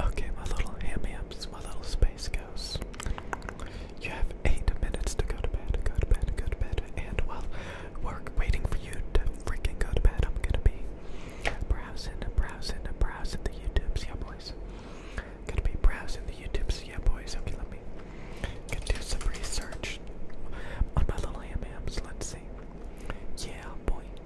Okay, my little ham my little space ghosts. You have eight minutes to go to bed, go to bed, go to bed, and while we're waiting for you to freaking go to bed, I'm gonna be browsing, browsing, browsing the YouTubes, yeah boys. Gonna be browsing the YouTubes, yeah boys. Okay, let me gonna do some research on my little ham Let's see. Yeah, boy.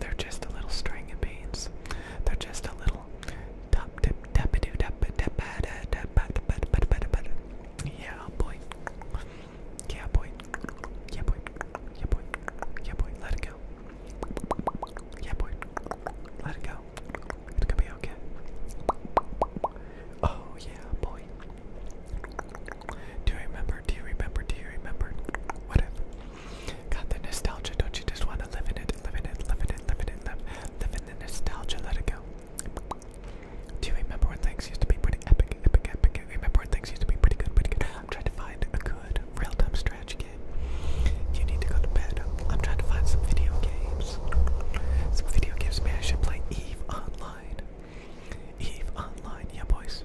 they're just a little string of beans. They're just a little Yeah boy. Yeah boy. Yeah boy. Yeah boy. Yeah boy. Let it go. Yeah boy. Let it go. It's gonna be okay. Oh yeah boy. Do you remember? Do you remember? Do you remember? Whatever. Got the nostalgia, don't you just want to live in it, live in it, live in it, live in it, live, live in the nostalgia, let it go. Do you remember when things used to be pretty epic, epic, epic? Remember when things used to be pretty good, pretty good? I'm trying to find a good real-time strategy game. You need to go to bed. I'm trying to find some video games. Some video games, man. I should play Eve Online. Eve Online, yeah, boys.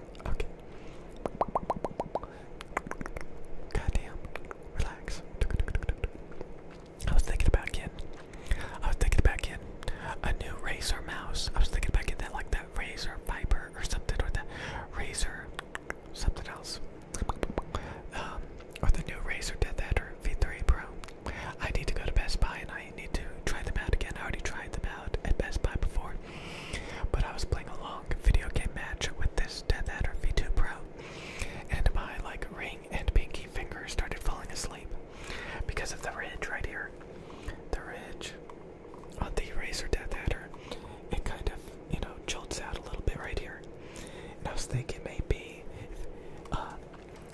Okay. Goddamn. Relax. I was thinking about getting. I was thinking about getting a new Razer mouse. I was thinking about getting that like that Razer Viper or something or that Razer something else. Um, or the new Razer Death Adder V3 Pro. I need to go to Best Buy and I I need to try them out again. I already tried them out at Best Buy before, but I was playing a long video game match with this Death Adder V2 Pro, and my like ring and pinky finger started falling asleep because of the ridge right here. The ridge on the Razor Death Adder, it kind of you know jolts out a little bit right here, and I was thinking maybe. Uh,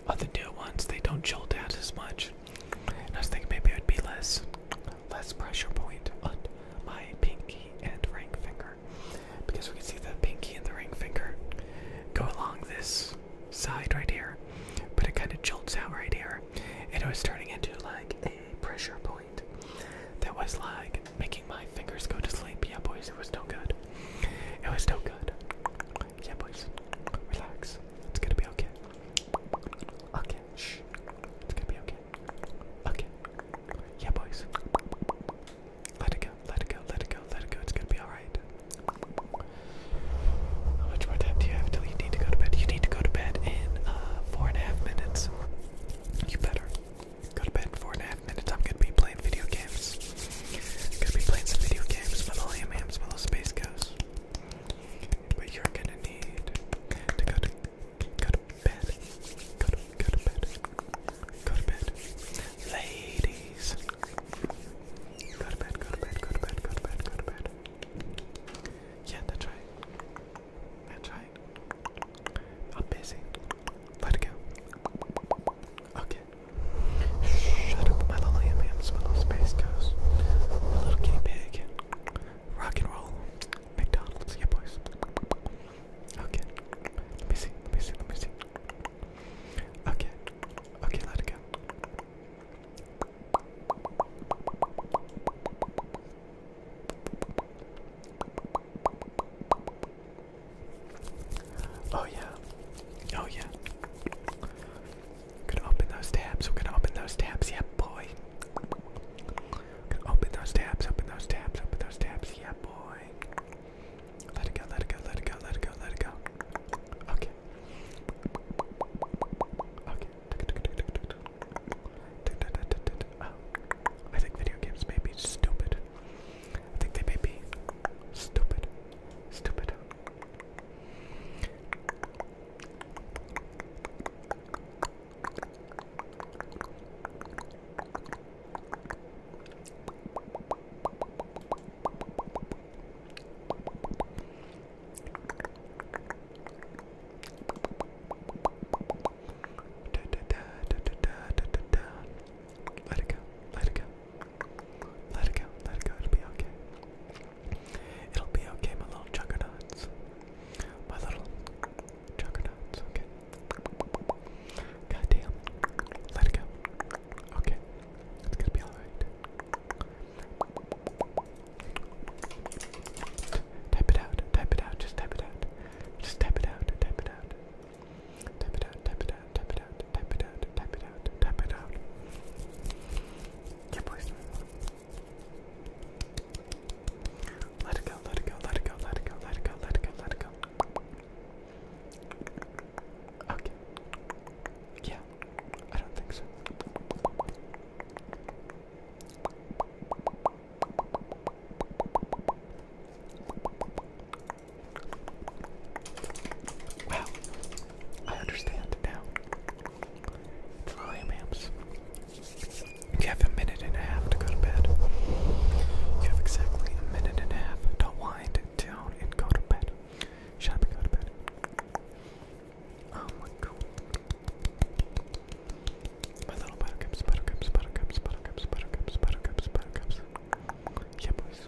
other new ones, they don't jolt out as much. And I was thinking maybe it would be less, less pressure point on my pinky and ring finger, because we can see the pinky and the ring finger go along this side right here, but it kind of jolts out right here, and it was turning into like a pressure point that was like making my fingers go to sleep. Yeah, boys, it was still good. It was still good. Yeah, boys, relax. It's gonna be okay. Okay, shh. It's gonna be okay. Okay. Yeah, boys. Let it go, let it go, let it go, let it go. It's gonna be alright. How much more time do you have till you need to go to bed? You need to go to bed in uh, four and a half minutes. You better. Go to bed four and a half minutes. I'm gonna be playing video games. gonna be playing some video games. Little AMAMs, little Space Ghosts. But you're gonna need to go to go to bed. Go to go to bed. Go to bed. Ladies. Go to bed, go to bed, go to bed, go to bed, go to bed. Yeah, that's right. That's right. I'm busy. Let it go. Okay. Shut up, my some of space cows. A little guinea pig. Rock and roll. McDonald's, yeah boys. Okay. Let me see, let me see, let me see. Okay. Okay, let it go. Oh yeah. Oh yeah. Gonna open those tabs. We're gonna open those tabs. Yeah, boy. Gonna open those tabs. Open those tabs. Open those tabs. Yeah, boy. Let it go. Let it go. Let it go. Let it go. Let it go. Okay. Okay. Oh, I think video games may be stupid. I think they may be stupid. Stupid. Let it go. Let it go. Let it go, let it go, it'll be okay. It'll be okay, my little juggernauts. My little juggernauts, okay. God Let it go. Okay. It's gonna be alright. Type it out, type it out, just type it out. Just type it out, type it out. Type it out, it out, type it out, type it out, type it out, type it out. Yeah, boys. Let it go, let it go, let it go, let it go, let it go, let it go, let it go. Okay. Yeah, I don't think so. Wow, I understand now. The Lilymamps. You have a minute and a half to go to bed. You have exactly a minute and a half to wind down and go to bed. Shut up and go to bed. Oh my god. My little buttercups, buttercups, buttercups, buttercups, buttercups, buttercups, buttercups. Yeah, boys.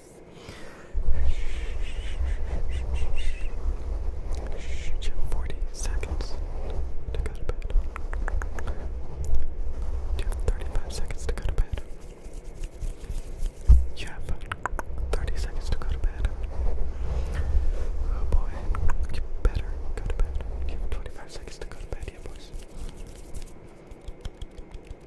Forty seconds to go to bed. You have thirty-five seconds to go to bed. You have thirty seconds to go to bed. Oh boy, you better go to bed. You have twenty-five seconds to go to bed, yeah, boys.